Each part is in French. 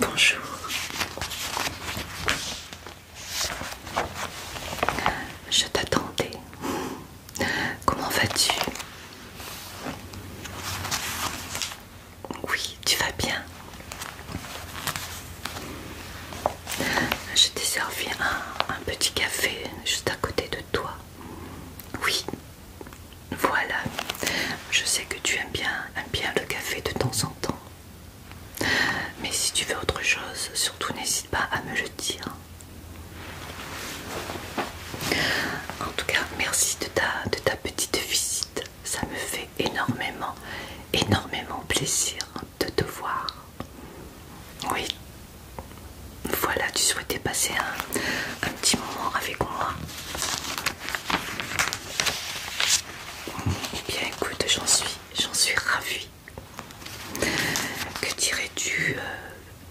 Bonjour. Je t'attendais. Comment vas-tu Oui, tu vas bien. Je t'ai servi un, petit café juste à côté de toi. Oui, voilà. Je sais que tu aimes bien, bien le café de temps en temps. Mais si tu veux autre chose, surtout n'hésite pas à me le dire. En tout cas, merci de ta petite visite. Ça me fait énormément, énormément plaisir de te voir. Oui. Voilà, tu souhaitais passer un, petit moment avec moi. Eh bien écoute, j'en suis, j'en ravie. Que dirais-tu euh,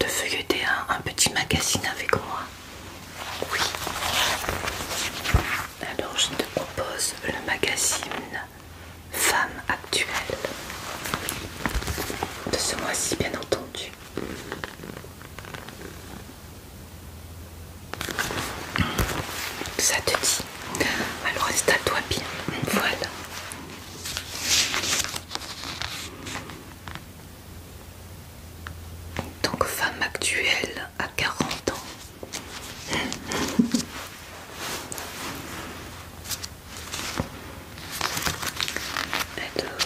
de feuilleter un, un petit magazine avec moi Oui. Alors je te propose le magazine Femme actuelle de ce mois-ci, bien entendu. Ça te dit Alors installe-toi bien. Voilà. Donc femme actuelle à 40 ans. Alors,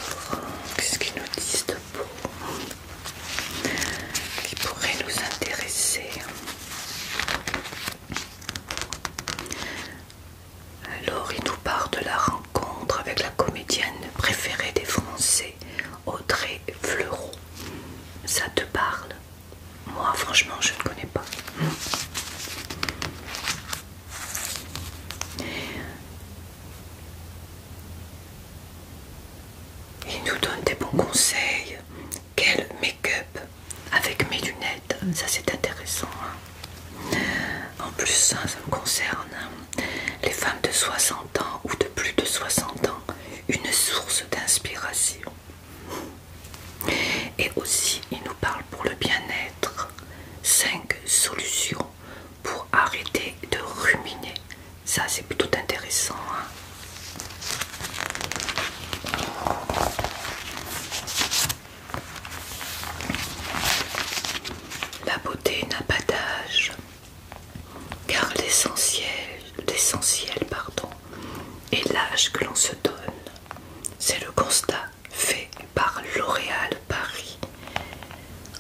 qu'est-ce qu'ils nous disent de beau hein, qui pourrait nous intéresser hein. Alors, il nous parle de la rencontre avec la comédienne préférée des Français, Audrey Fleurot. Ça te parle Moi, franchement, je ne connais pas. Il nous donne des bons conseils. Quel make-up avec mes lunettes, ça c'est intéressant. Hein. En plus, ça, ça me concerne. Hein. Les femmes de 60 ans ou de plus de 60 ans, une source d'inspiration. Et aussi, il nous parle pour le bien-être. 5 solutions pour arrêter de ruminer. Ça, c'est plutôt intéressant. Hein. La beauté n'a pas d'âge, car l'essentiel l'essentiel pardon, est l'âge que l'on se donne. C'est le constat fait par L'Oréal Paris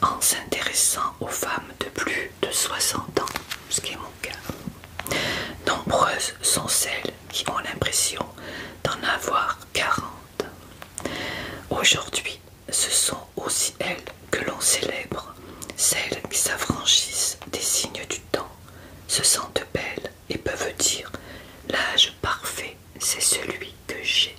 en s'intéressant aux femmes de plus de 60 ans, ce qui est mon cas. Nombreuses sont celles qui ont l'impression d'en avoir 40. Aujourd'hui, ce sont aussi elles que l'on célèbre, celles qui s'affranchissent des signes du temps, se sentent belles et peuvent dire l'âge parfait c'est celui que j'ai.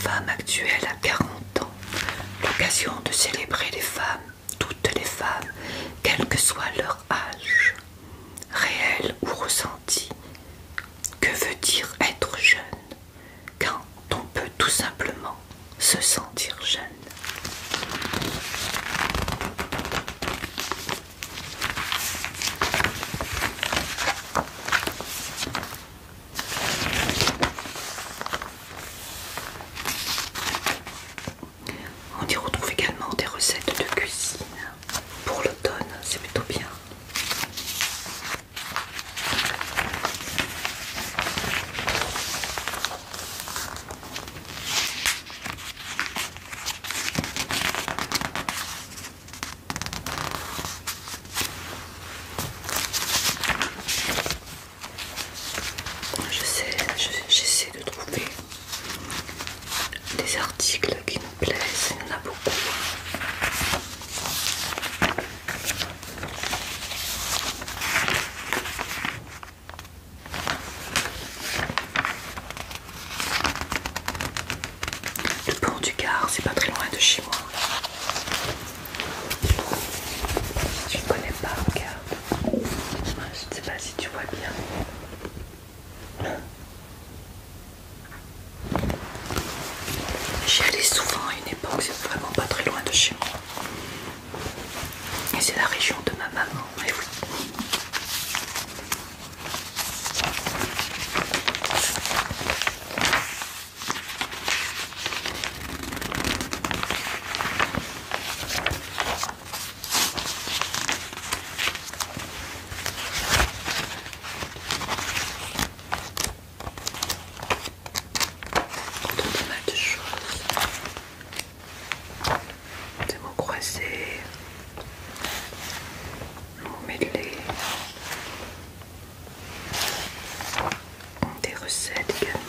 Femme actuelle à 40 ans, l'occasion de célébrer les femmes, toutes les femmes, quel que soit leur âge, réel ou ressenti. Que veut dire être jeune quand on peut tout simplement se sentir jeune. On y retrouve également des recettes de cuisine pour l'automne, c'est plutôt bien. Je sais, j'essaie de trouver des articles qui me plaisent, il y en a beaucoup. Le pont du Gard, c'est pas très loin de chez moi. Tu ne connais pas, regarde. Ah, je ne sais pas si tu vois bien. J'y allais souvent à une époque, c'est vraiment pas très loin de chez moi. Et c'est la région de ma maman, entend pas mal choses. Des mots croisés, des mêlés, des recettes également.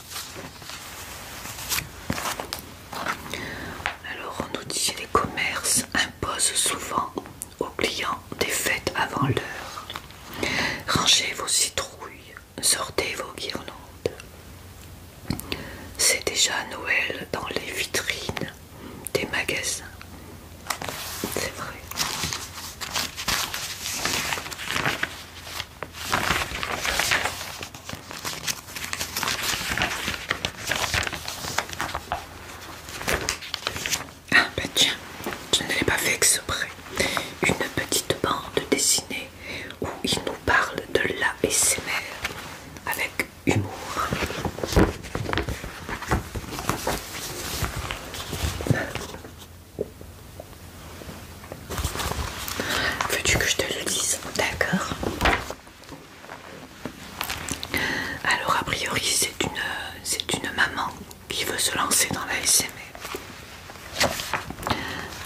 Alors on nous dit les commerces imposent souvent aux clients des fêtes avant l'heure. Rangez vos citrouilles, sortez vos guirlandes. C'est déjà Noël dans les vitrines des magasins. C'est vrai. Ah bah tiens, je ne l'ai pas fait exprès. Une petite bande dessinée où il nous parle de la avec humour. Veux-tu que je te le dise D'accord. Alors a priori c'est une c'est une maman qui veut se lancer dans la S.M.E.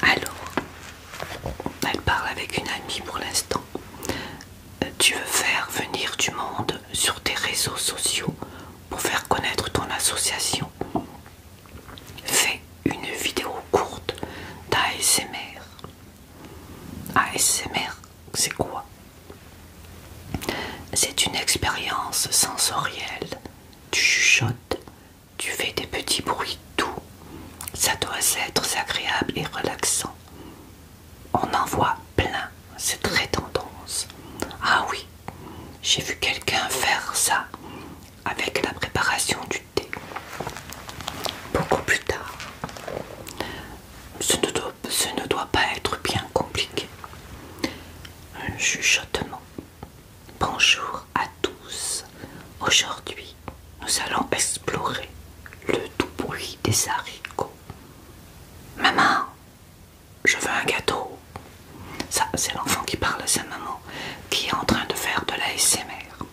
Alors, elle parle avec une amie pour l'instant. Euh, tu veux faire venir du monde sur tes réseaux sociaux pour faire connaître ton association Fais une vidéo courte d'ASMR. ASMR, c'est quoi C'est une expérience sensorielle. Tu chuchotes, tu fais des petits bruits doux. Ça doit être agréable et relaxant. On en voit plein, c'est très tendance. Ah oui, j'ai vu quelqu'un faire ça avec la préparation du beaucoup plus tard. Ce ne doit, ce ne doit pas être bien compliqué. Un chuchotement. Bonjour à tous. Aujourd'hui, nous allons explorer le doux bruit des haricots. Maman, je veux un gâteau. Ça, c'est l'enfant qui parle à sa maman qui est en train de faire de l'ASMR.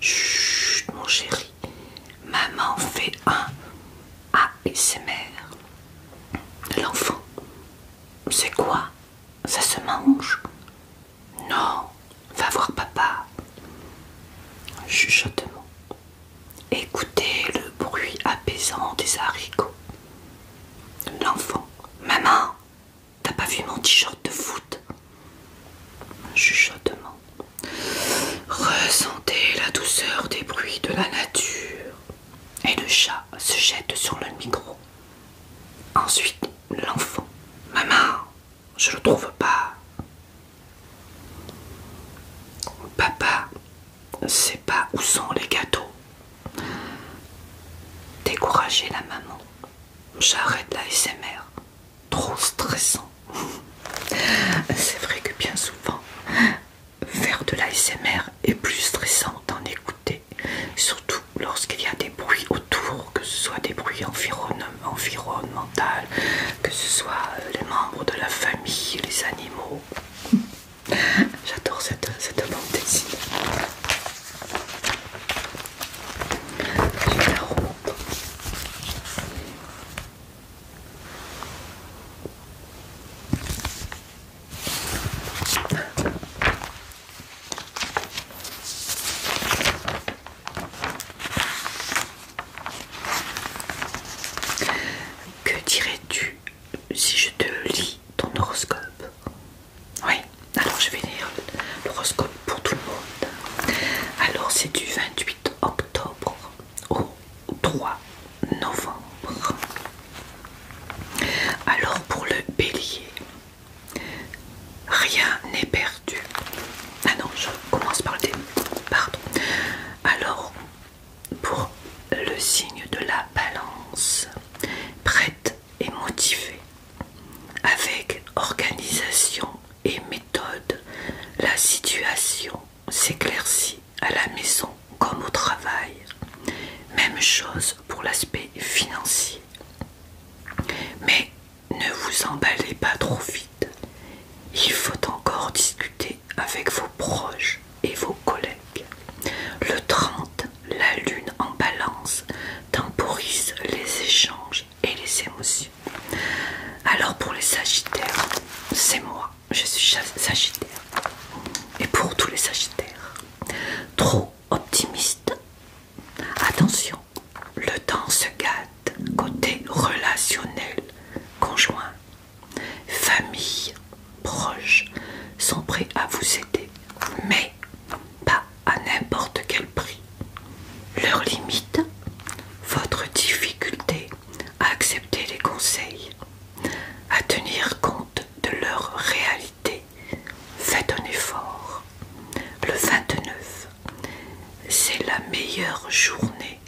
Chut, mon chéri, maman fait un ASMR l'enfant. C'est quoi Ça se mange Non, va voir papa. Chuchotement. Écoutez le bruit apaisant des haricots. L'enfant. Maman, T'as pas vu mon t-shirt de foot Chuchotement. Ressentez la douceur des bruits de la nature. Et le chat se jette sur le micro. Ensuite, l'enfant. Maman, je le trouve pas. Papa, c'est pas où sont les gâteaux. Découragez la maman j'arrête la SMR. Trop stressant. C'est vrai que bien souvent, faire de la SMR est plus stressant d'en écouter, surtout lorsqu'il y a des bruits autour, que ce soit des bruits environnementaux, que ce soit euh, les membres de la famille, les animaux. J'adore cette, cette bande que dirais-tu si je te lis ton horoscope oui, alors je vais lire l'horoscope pour tout le monde. Alors c'est du 28 octobre au 3 novembre. Alors pour le bélier, rien n'est perdu. Ah non, je commence par le début. Pardon. Alors pour le signe de la balance, prête et motivée, avec organisation et méthode, la situation s'éclaircit à la maison comme au travail. Même chose pour l'aspect financier. Mais ne vous emballez pas trop vite. Il faut encore discuter avec vos proches et vos collègues. Le 30, la lune en balance temporise les échanges et les émotions. Alors pour les sagittaires, c'est moi, je suis sagittaire. Et pour tous les sagittaires, trop optimiste. Attention, le temps se gâte côté relationnel, conjoint, famille, proches sont prêts à vous aider. Mais pas à n'importe quel prix. Leur limite, votre difficulté à accepter les conseils, à tenir compte de leur réalité. Faites un effort. Le 29, c'est la meilleure journée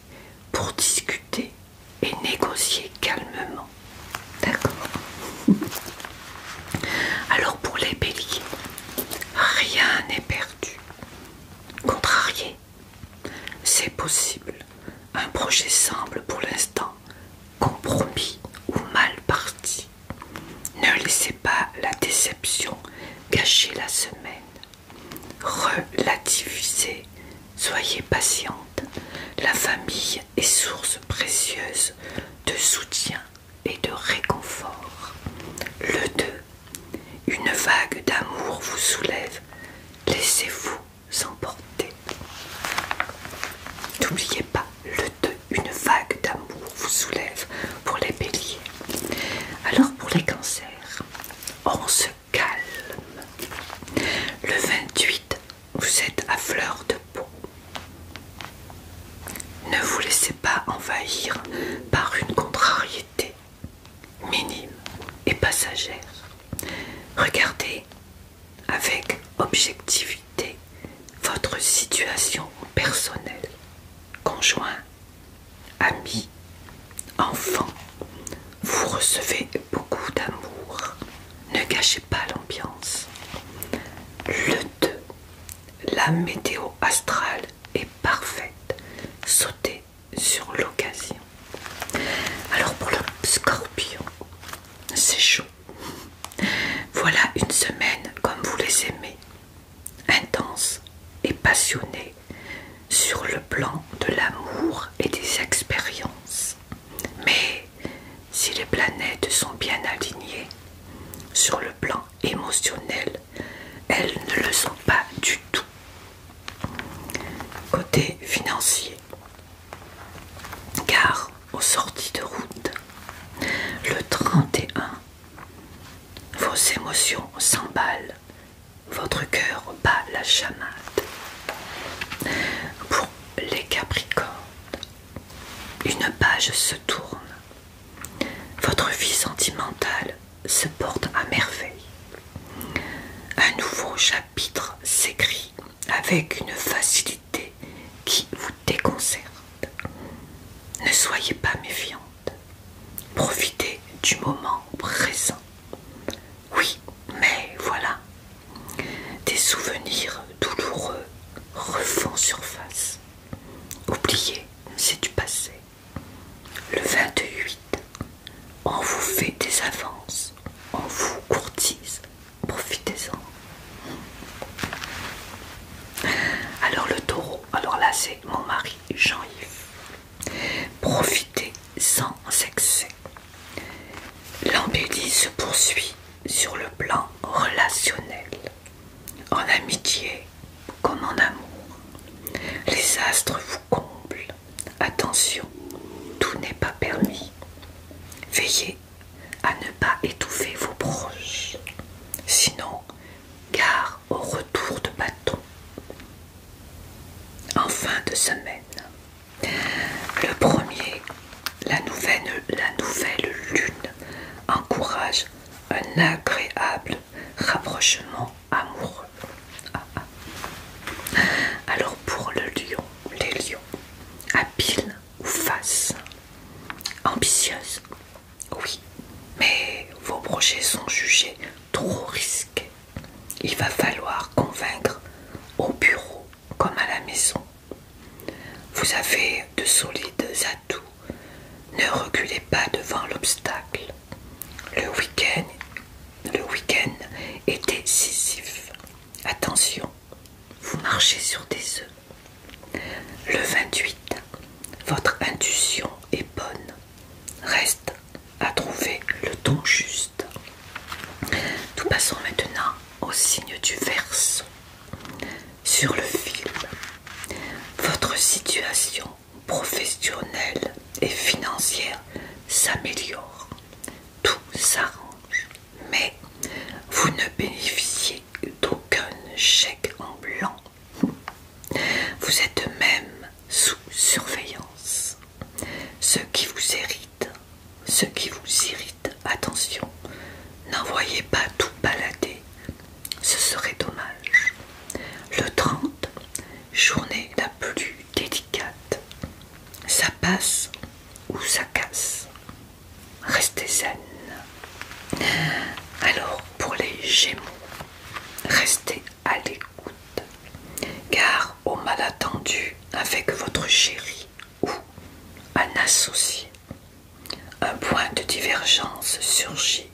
pour discuter et négocier calmement. D'accord Alors pour les béliers, rien n'est perdu. Contrarié, c'est possible. Un projet semble pour l'instant compromis ou mal parti. Ne laissez pas la déception gâcher la semaine. Relativisez, soyez patiente. La famille est source précieuse de soutien et de réconfort. Le 2. Une vague d'amour vous soulève. Laissez-vous emporter. N'oubliez pas, le 2. Une vague d'amour vous soulève pour les béliers. Alors pour les cancers, on se calme. Le 28, vous êtes à fleur de peau. Ne vous laissez pas envahir par une contrariété minime et passagère. Regardez avec objectivité votre situation personnelle, conjoint, ami, enfant. Vous recevez beaucoup d'amour. Ne gâchez pas l'ambiance. Le 2. La météo astrale et parfaite. Sautez sur l'occasion. Alors pour le scorpion, c'est chaud. Voilà une semaine comme vous les aimez, intense et passionnée sur le plan de l'amour et des expériences. Mais si les planètes sont bien alignées sur le plan émotionnel, elles, ne le sont pas du tout. Côté financier, car aux sorties de route, le 31, vos émotions s'emballent, votre cœur bat la chamade. Pour les Capricornes, une page se tourne votre vie sentimentale se porte à merveille. Un nouveau chapitre s'écrit avec une facilité qui vous déconcerte. Ne soyez pas méfiante. Profitez du moment présent. Oui, mais voilà. Des souvenirs douloureux refont surface. Oubliez, c'est du passé. Le 28, on vous fait des avances, on vous courtise, profitez-en. Alors le taureau, alors là c'est mon mari Jean-Yves. Profitez sans excès. L'embellie se poursuit sur le plan relationnel en amitié comme en amour. Les astres vous comblent. Attention, tout n'est pas permis. Veillez à ne pas étouffer vos proches. Sinon, gare au retour de bâton. En fin de semaine, le premier, la nouvelle, la nouvelle lune, encourage un agréable rapprochement amoureux. Ah, ah. Alors pour le lion, les lions, habiles ou face, Ambitieuses oui, mais vos projets sont jugés trop risqués. Il va falloir convaincre au bureau comme à la maison. Vous avez de solides tout, ne reculez pas devant l'obstacle. Le week-end le week-end est décisif. Attention, vous marchez sur des œufs. Le 28, votre intuition est bonne. Reste à trouver le ton juste. Nous passons maintenant au signe du Verseau. Sur le fil, votre situation professionnelle et financière s'améliore, tout s'arrange, mais vous ne bénéficiez d'aucun chèque en blanc. Vous êtes même sous surveillance. Ce qui vous irrite, ce qui vous irrite, attention, n'envoyez pas tout balader ce serait dommage. Le 30, journée la plus délicate. Ça passe ou ça casse. Restez zen. Alors pour les Gémeaux, restez à l'écoute. Car au attendu avec votre chéri ou un associé, un point de divergence surgit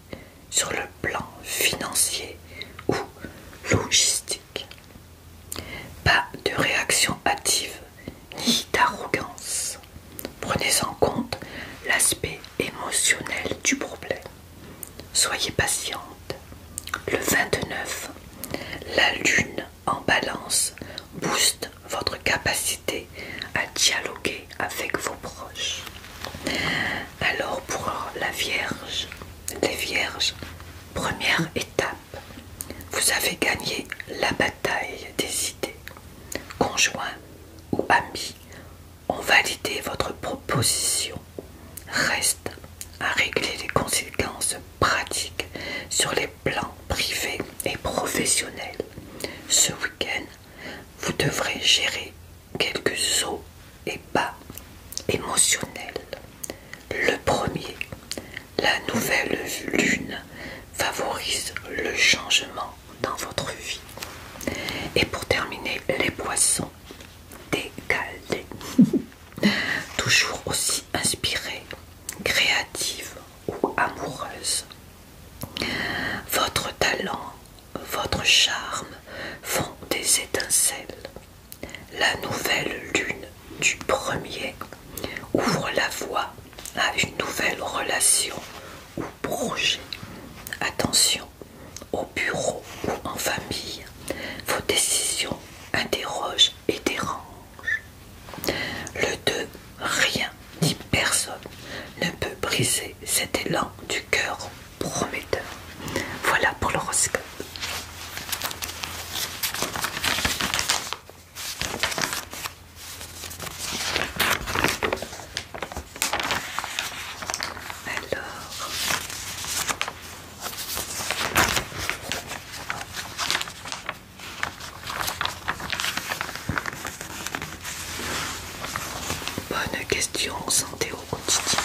sur le plan financier ou logistique. Pas de réaction hâtive ni d'arrogance. Prenez en compte l'aspect émotionnel du problème. Soyez patiente. Le 29, la lune en balance booste votre capacité à dialoguer avec vos proches. Alors pour la Vierge, les Vierges, première étape, vous avez gagné la bataille des idées. Conjoints ou amis ont validé votre proposition. Reste à régler les conséquences pratiques sur les plans privés et professionnels. Ce week-end, vous devrez gérer quelques sauts et pas émotionnels. Le premier, la nouvelle lune favorise le changement dans votre vie. Et pour terminer, les poissons décalés. Toujours aussi inspirés, créatives ou amoureuses. Votre talent votre charme font des étincelles. La nouvelle lune du premier ouvre la voie à une nouvelle relation ou projet. Attention, au bureau ou en famille, vos décisions interrogent et dérangent. Le 2, rien ni personne ne peut briser cet élan du cœur prometteur. Voilà pour l'horoscope. Alors, Bonne question santé au quotidien.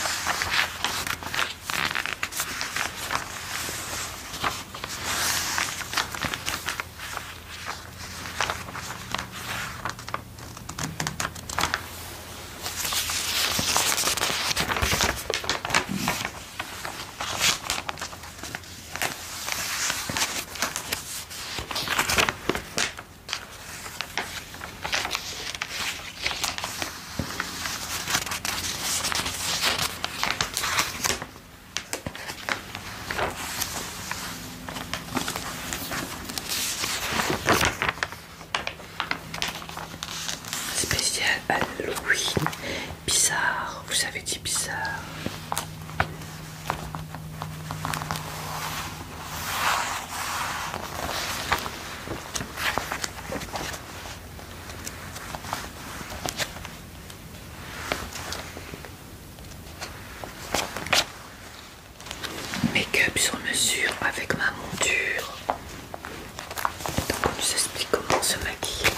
Spécial Halloween, bizarre, vous avez dit bizarre. Make-up sur mesure avec ma monture. Donc on nous explique comment se maquiller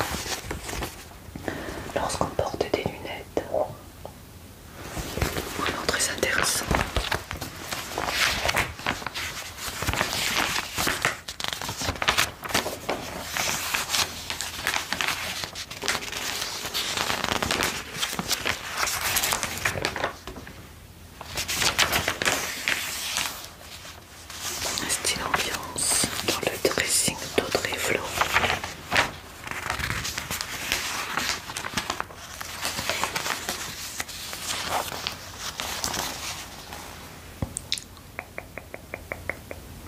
lorsqu'on porte des lunettes. Vraiment très intéressant. Un style ambiance dans le dressing d'Audrey Flo.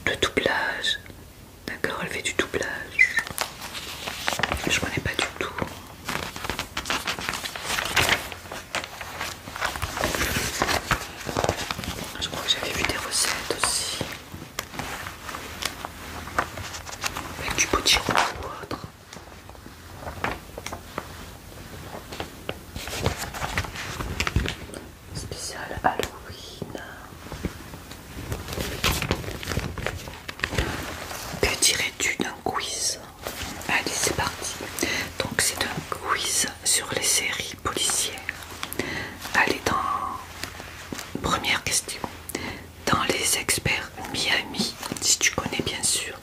Le doublage, d'accord, elle fait du doublage. Je connais pas du tout. Je crois que j'avais vu des recettes aussi. Avec du potiron ou autre. Spécial Halloween. Que dirais-tu d'un quiz Allez, c'est parti. Donc c'est un quiz sur les séries policières. Allez, dans première question. Dans les experts Miami, si tu connais bien sûr,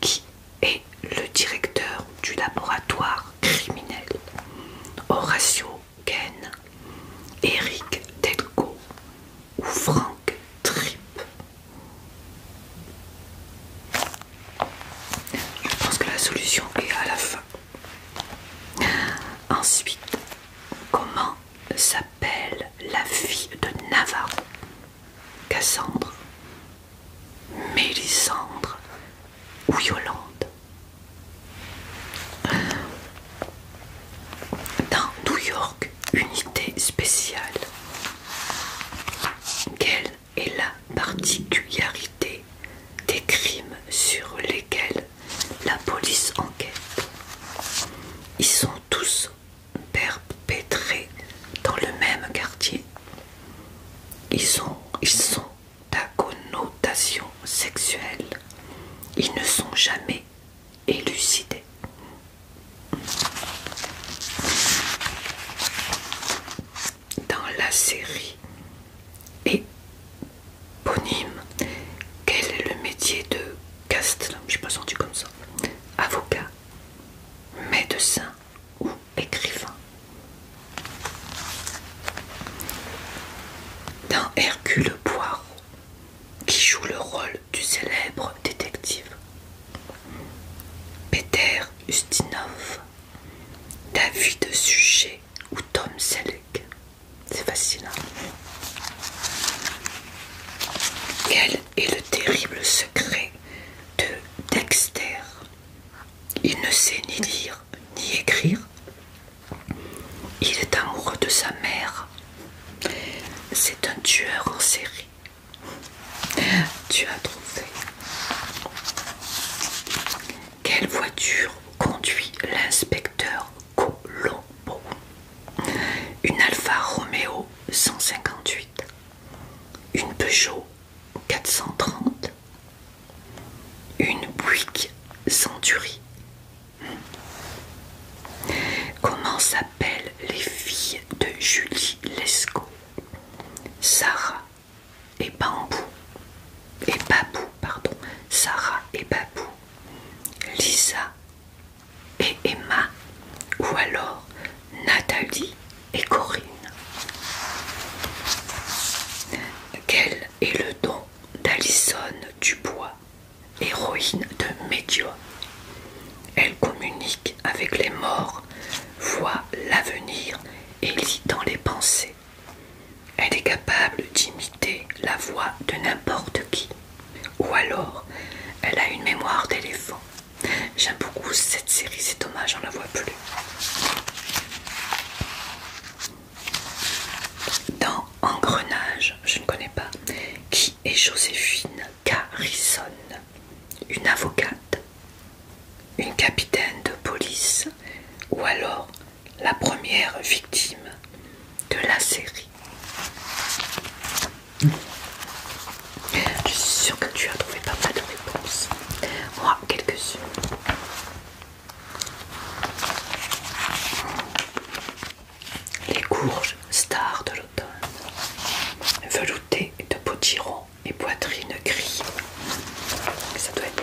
qui est le directeur du laboratoire criminel, Horatio Ken, Eric Delco ou Frank Tripp. Je pense que la solution est à la fin. Ensuite, comment s'appelle la fille de Navarro Cassandre, Mélisandre ou Yolande. Dans New York, unité spéciale. Quelle est la particularité des crimes sur lesquels la police enquête Ils sont tous perpétrés dans le même quartier. Ils, sont, ils sont à connotation sexuelle. Ils ne sont jamais élucidés. Dans la série éponyme, quel est le métier de Castle Je pas senti comme ça. Avocat médecin ou écrivain. Dans Hercule Poirot, qui joue le rôle du célèbre détective, Peter Ustinov, David Suchet ou Tom Selleck. C'est fascinant. Hein et le terrible secret de Dexter. Il ne sait ni lire ni écrire. Il est amoureux de sa mère. C'est un tueur en série. Tu as trouvé. Quelle voiture conduit l'inspecteur Colombo Une Alfa Romeo 158 une Peugeot 430, une Bouygues Century. Hmm, comment s'appellent les filles de Julie Lescaut Sarah et Bambou. Et Babou, pardon. Sarah et Babou. Lisa et Emma. Ou alors Nathalie et Corinne. Quel est le don d'Alison Dubois, héroïne de Médium Elle communique avec les morts, voit l'avenir et lit dans les pensées. Elle est capable d'imiter la voix de n'importe qui. Ou alors, elle a une mémoire d'éléphant. J'aime beaucoup cette série, c'est dommage, on la voit plus. Dans Engrenage, je ne connais pas, qui est Joséphine Carrison, une avocate, une capitaine de police ou alors la première victime de la série. Je suis sûre que tu as trouvé pas mal de réponses. Moi, quelques-unes. Les courges, stars de l'automne. veloutées de potiron et poitrine gris. Ça doit être bon.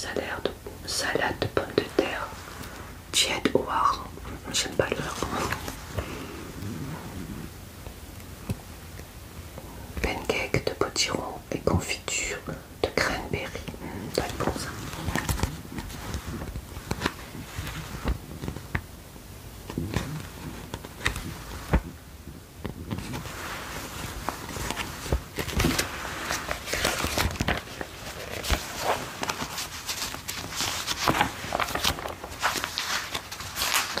Salade de, salade de pommes de terre tiède au J'aime pas le Pancake de potiron et confiture de cranberry. Hmm, ça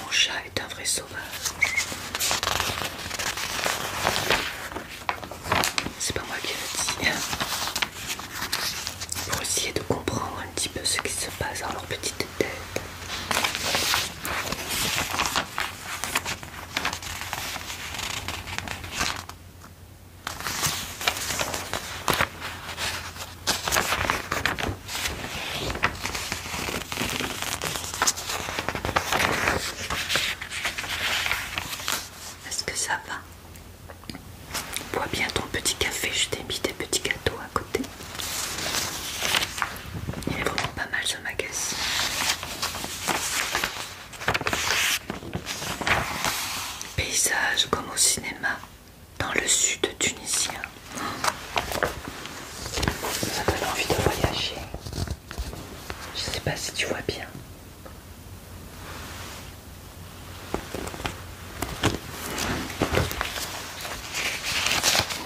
Mon chat est un vrai sauvage. C'est pas moi qui le dis. Pour essayer de comprendre un petit peu ce qui se passe dans leur petite tête. Est-ce que ça va Bois bien ton petit café, je t'ai mis des petits gâteaux à côté. Il est vraiment pas mal ma caisse Paysage comme au cinéma dans le sud tunisien. Ça donne envie de voyager. Je sais pas si tu vois bien.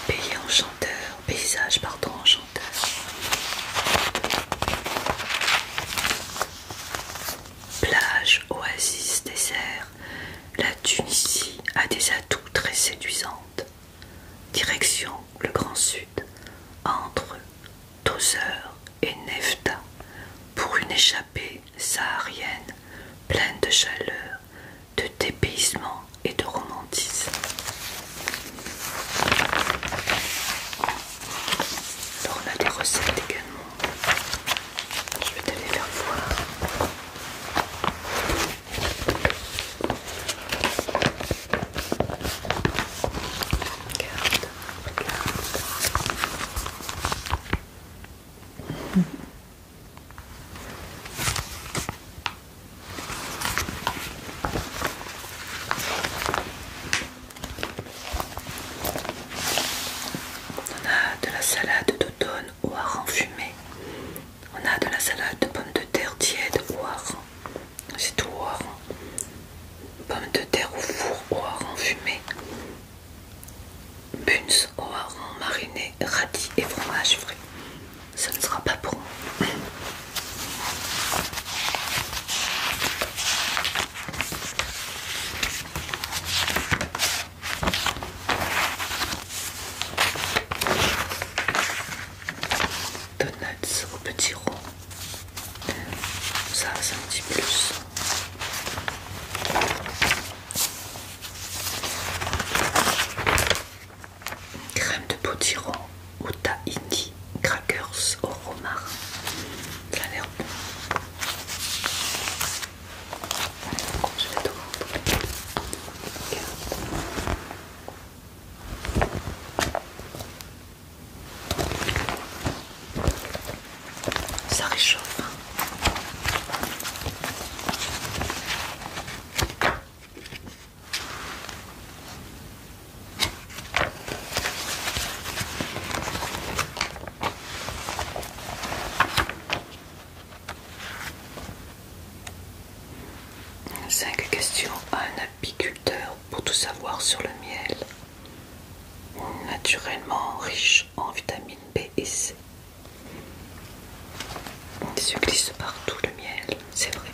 Pays enchanteur, paysage pardon enchanteur. Plage, oasis, désert, la Tunisie a des atouts très séduisantes. Direction le Grand Sud, entre Tozer et Nefta, pour une échappée saharienne pleine de chaleur, de dépaysement et de romantisme. Alors on a des recettes également. Je vais te les faire voir. Regarde, on a de la salade d'automne au hareng fumé. On a de la salade de pommes de terre tiède au hareng. C'est tout au Pommes de terre au four au hareng fumé. Buns au hareng mariné, radis et fromage frais. Ça ne sera pas pour moi. Donuts au petit rond. Ça, c'est un petit plus. Crème de potiron au tahini, crackers au romarin. Ça a bon. Ça réchauffe. Cinq questions à un apiculteur pour tout savoir sur le miel, naturellement riche en vitamines B et C. Il se glisse partout le miel, c'est vrai.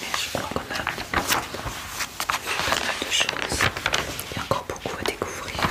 Mais je crois qu'on a pas mal de choses. Il y a encore beaucoup à découvrir.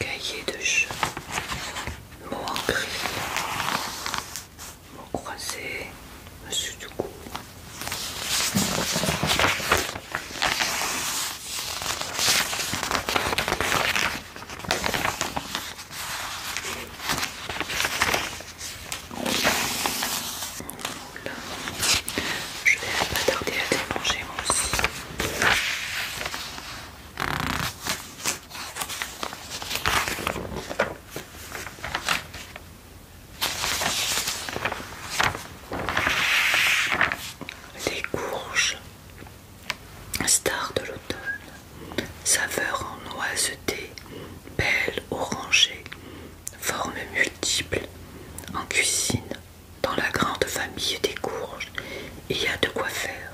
Cahier de jeu, mots en gris, mots croisés, monsieur du coup. Je vais pas tarder à démanger moi aussi. Les courges, star de l'automne, saveur en noiseté, belle orangée, Formes multiples, en cuisine, dans la grande famille des courges, il y a de quoi faire.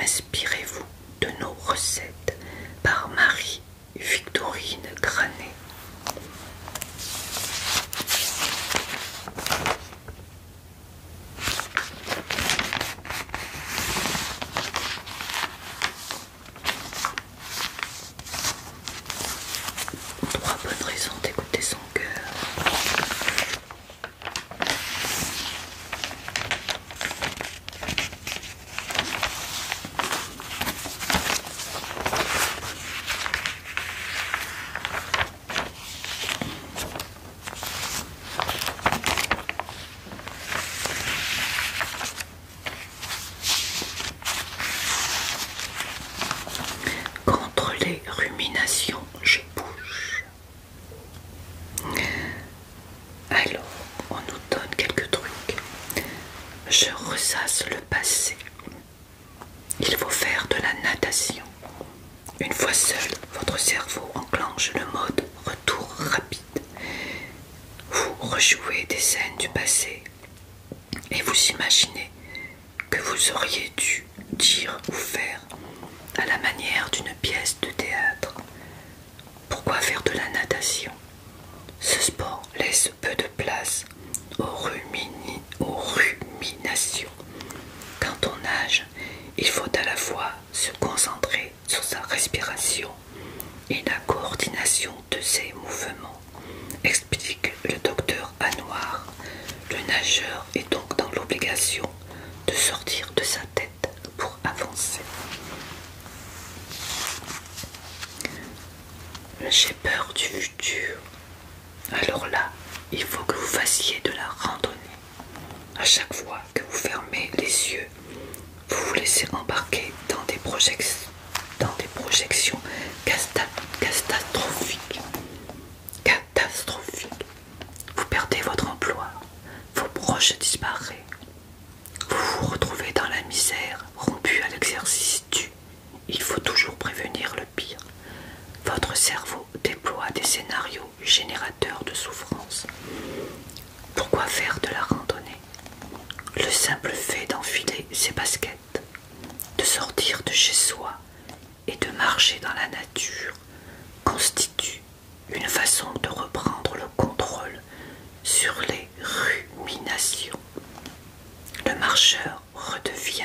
Inspirez-vous de nos recettes par Marie Victorine Granet. Trois bonnes raisons d'écouter son cœur. Contre les ruminations, je bouge. Alors, on nous donne quelques trucs. Je ressasse le passé. Il faut faire de la natation. Une fois seul, votre cerveau enclenche le mode retour rapide. Vous rejouez des scènes du passé et vous imaginez que vous auriez dû dire ou faire à la manière d'une pièce de théâtre. Pourquoi faire de la natation Ce sport laisse peu de place aux, ruminations. Quand on nage, il faut à la fois se concentrer sur sa respiration et la coordination de ces mouvements, explique le docteur Anouar. Le nageur est donc dans l'obligation de sortir de sa tête pour avancer. J'ai peur du futur. Alors là, il faut que vous fassiez de la randonnée. À chaque fois que vous fermez les yeux, vous vous laissez embarquer dans des, projections catastrophiques. Catastrophiques. Vous perdez votre emploi, vos proches disparaissent. Vous vous retrouvez dans la misère, rompu à l'exercice du « il faut toujours prévenir le pire ». Votre cerveau déploie des scénarios générateurs de souffrance. Pourquoi faire de la randonnée le simple fait d'enfiler ses baskets, de sortir de chez soi et de marcher dans la nature constitue une façon de reprendre le contrôle sur les ruminations. Le marcheur redevient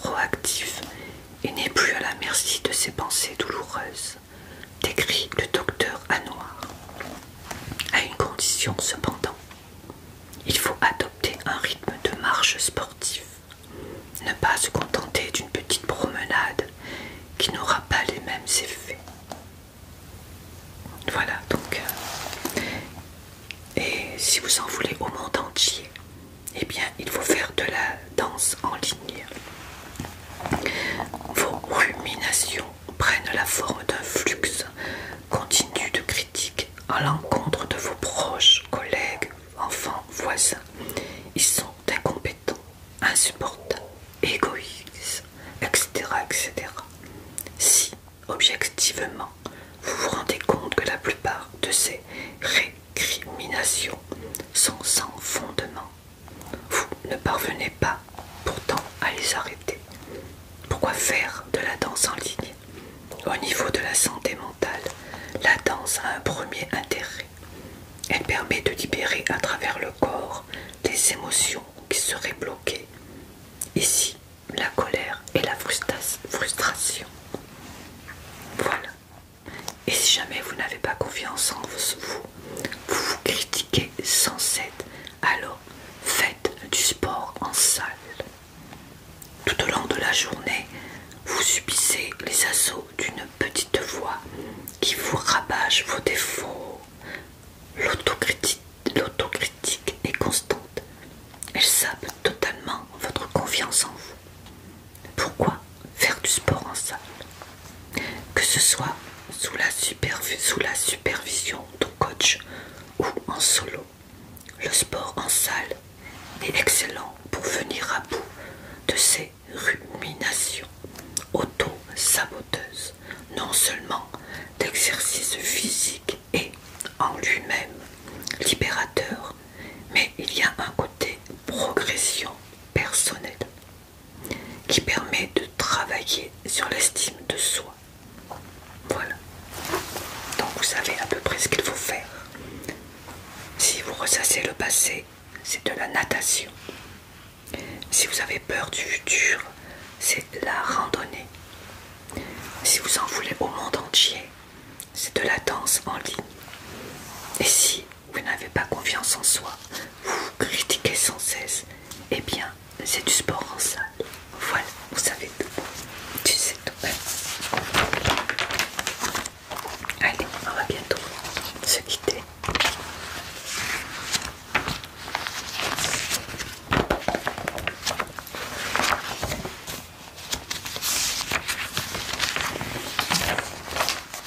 proactif, et n'est plus à la merci de ses pensées douloureuses, décrit le docteur Hanoir. À une condition cependant, il faut adopter un rythme de marche sportif ne pas se contenter d'une petite promenade qui n'aura pas les mêmes effets. Voilà donc. Euh, et si vous en voulez au monde entier, eh bien il faut faire de la danse en ligne. Vos ruminations prennent la forme d'un flux continu de critiques à l'encontre de vos proches, collègues, enfants, voisins. Ils sont incompétents, insupportables, égoïstes, etc. etc. Si, objectivement, vous vous rendez compte que la plupart de ces récriminations sont sans fondement, vous ne parvenez pas pourtant à les arrêter. Pourquoi faire de la danse en ligne Au niveau de la santé mentale, la danse a un premier intérêt. Elle permet de libérer à travers le corps les émotions qui seraient bloquées. Ici, la colère et la frustration. Voilà. Et si jamais vous n'avez pas confiance en vous, vous vous critiquez sans cesse, alors faites du sport en salle. Tout au long de la journée, vous subissez les assauts d'une petite voix qui vous rabâche vos défauts. L'autocritique est constante. Elle sape totalement votre confiance en vous. Pourquoi faire du sport en salle Que ce soit sous la supervision au coach ou en solo. Le sport en salle est excellent pour venir à bout de ces ruminations auto-saboteuses, non seulement d'exercice physique et en lui-même libérateur, mais il y a un côté progression personnelle qui permet de travailler sur l'estime de soi voilà. Donc vous savez à peu près ce qu'il faut faire. Si vous ressassez le passé, c'est de la natation. Si vous avez peur du futur, c'est de la randonnée. Si vous en voulez au monde entier, c'est de la danse en ligne. Et si vous n'avez pas confiance en soi, vous vous critiquez sans cesse, eh bien, c'est du sport en salle. Voilà, vous savez tout. Tu sais tout. Allez, on va bientôt se quitter.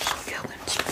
Je regarde un petit peu.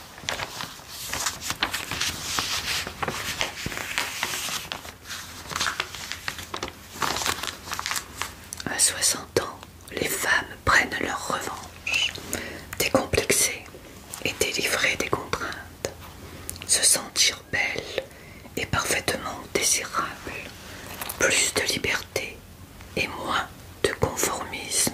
À 60 ans, les femmes prennent leur revanche, décomplexées et délivrées des contraintes, se sentir belles et parfaitement désirables, plus de liberté, et moins de conformisme.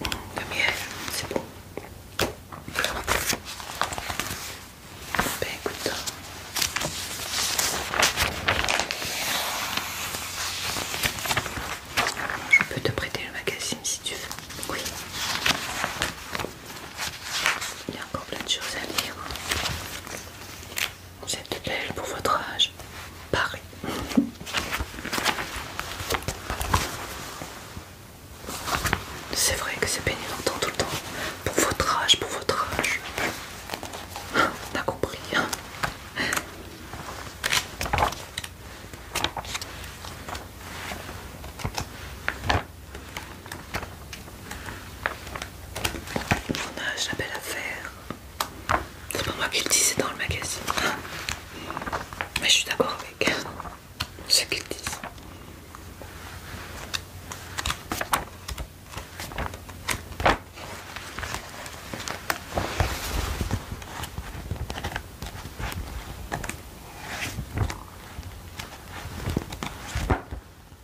Le miel, c'est bon. Ben écoute. Je peux te prêter le magazine si tu veux. Oui. Il y a encore plein de choses à lire. Vous êtes belle pour votre âge, Paris. C'est vrai que c'est pénible tout le temps. Pour votre âge, pour votre âge. T'as compris. Hein. Mon âge, la belle affaire. C'est pas moi qui le dis, c'est dans le magazine. Mais je suis d'accord avec ce qu'il disent.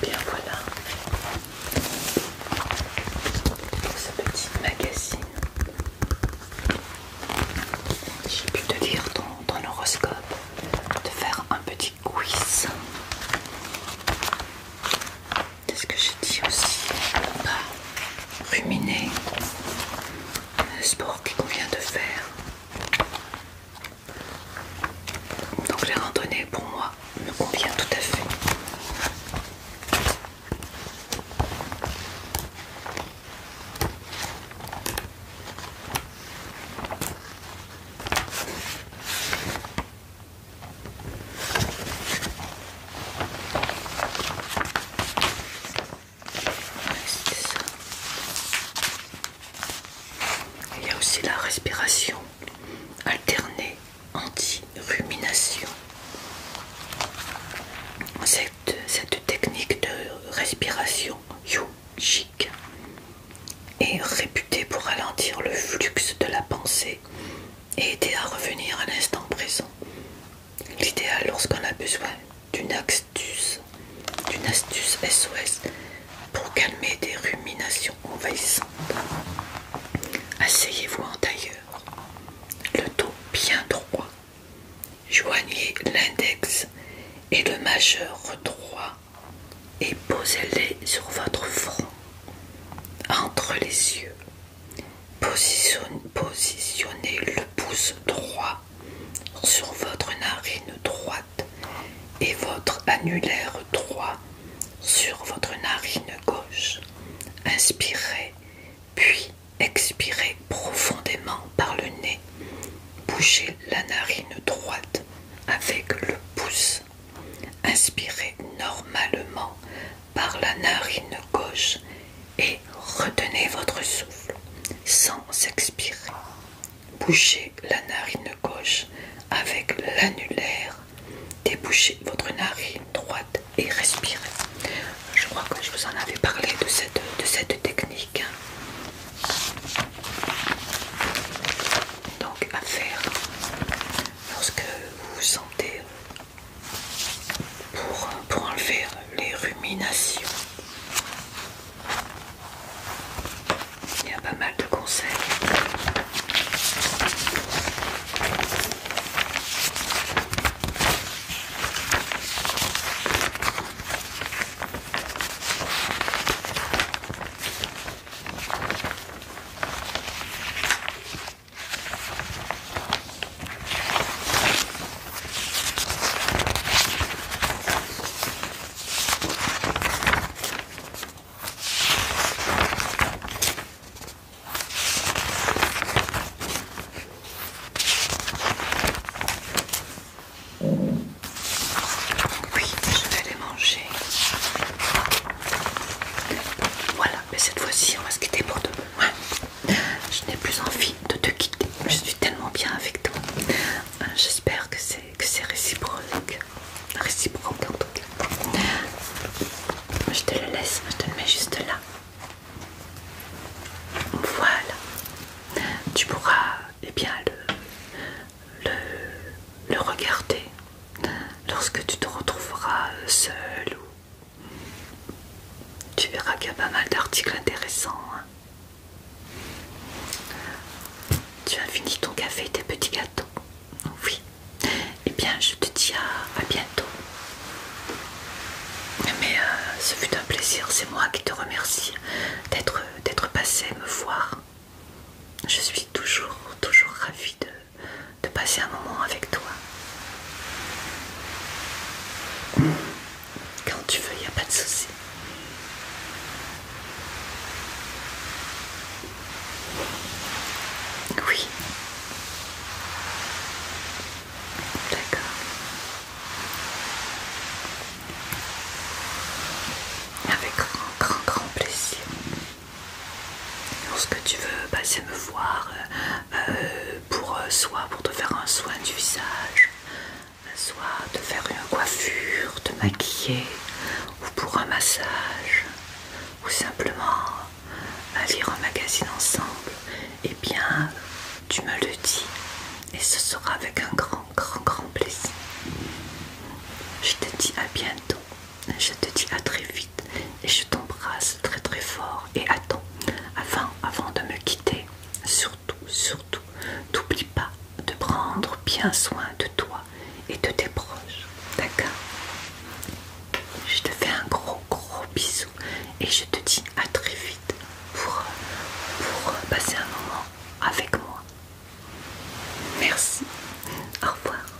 Bien voilà ce petit magazine. J'ai pu te lire dans, horoscope, te faire un petit oui ce que j'ai dit aussi Pas ruminer. Le sport qu'il convient de faire. Donc les randonnées pour moi me convient tout à fait. Il y a aussi la respiration alternée anti-rumination. Cette, technique de respiration yogique est réputé pour ralentir le flux de la pensée et aider à revenir à l'instant présent. L'idéal lorsqu'on a besoin d'une astuce, d'une astuce SOS pour calmer des ruminations envahissantes. Asseyez-vous en tailleur, le dos bien droit. Joignez l'index et le majeur droit et posez-les sur votre front, entre les yeux. positionnez le pouce droit sur votre narine droite et votre annulaire droit sur votre narine gauche. Inspirez, puis expirez profondément par le nez. Bougez la narine droite avec le pouce inspirez normalement par la narine gauche et retenez votre souffle sans expirer. Bouchez la narine gauche avec l'annulaire, débouchez votre narine droite et respirez. Je crois que je vous en avais parlé de cette, de cette technique. Donc à faire lorsque vous vous sentez pour, enlever les ruminations. Il y a pas mal de conseils. Oui, je vais les manger. Voilà, mais cette fois-ci, on va se quitter pour demain. Je n'ai plus envie de te quitter. Je suis tellement bien avec toi. Euh, j'espère que c'est réciproque. Réciproque en tout cas. Je te le laisse, je te le mets juste là. Voilà. Tu pourras eh bien, le, le regarder lorsque tu te retrouveras euh, seul ou tu verras qu'il y a pas mal d'articles intéressants. Hein. Tu as fini ton café et tes petits gâteaux. Oui. Eh bien, je te dis à, bientôt. Mais euh, ce fut un plaisir. C'est moi qui te remercie d'être passé me voir. Je suis toujours, toujours ravie de de passer un moment avec toi. Quand tu veux, il n'y a pas de souci. Oui. D'accord. Avec grand, grand, grand plaisir. Lorsque tu veux passer me voir euh, euh, pour euh, soit pour te faire un soin du visage, soit te faire une coiffure, te maquiller, ou pour un massage, ou simplement lire un magazine ensemble, et eh bien tu me le dis et ce sera avec un grand grand grand plaisir. Je te dis à bientôt, je te dis à très vite et je t'embrasse très très fort et attends avant, avant de me quitter surtout surtout n'oublie pas de prendre bien soin de toi et de tes proches d'accord je te fais un gros gros bisou et je te dis à très vite pour passer un moment avec moi merci au revoir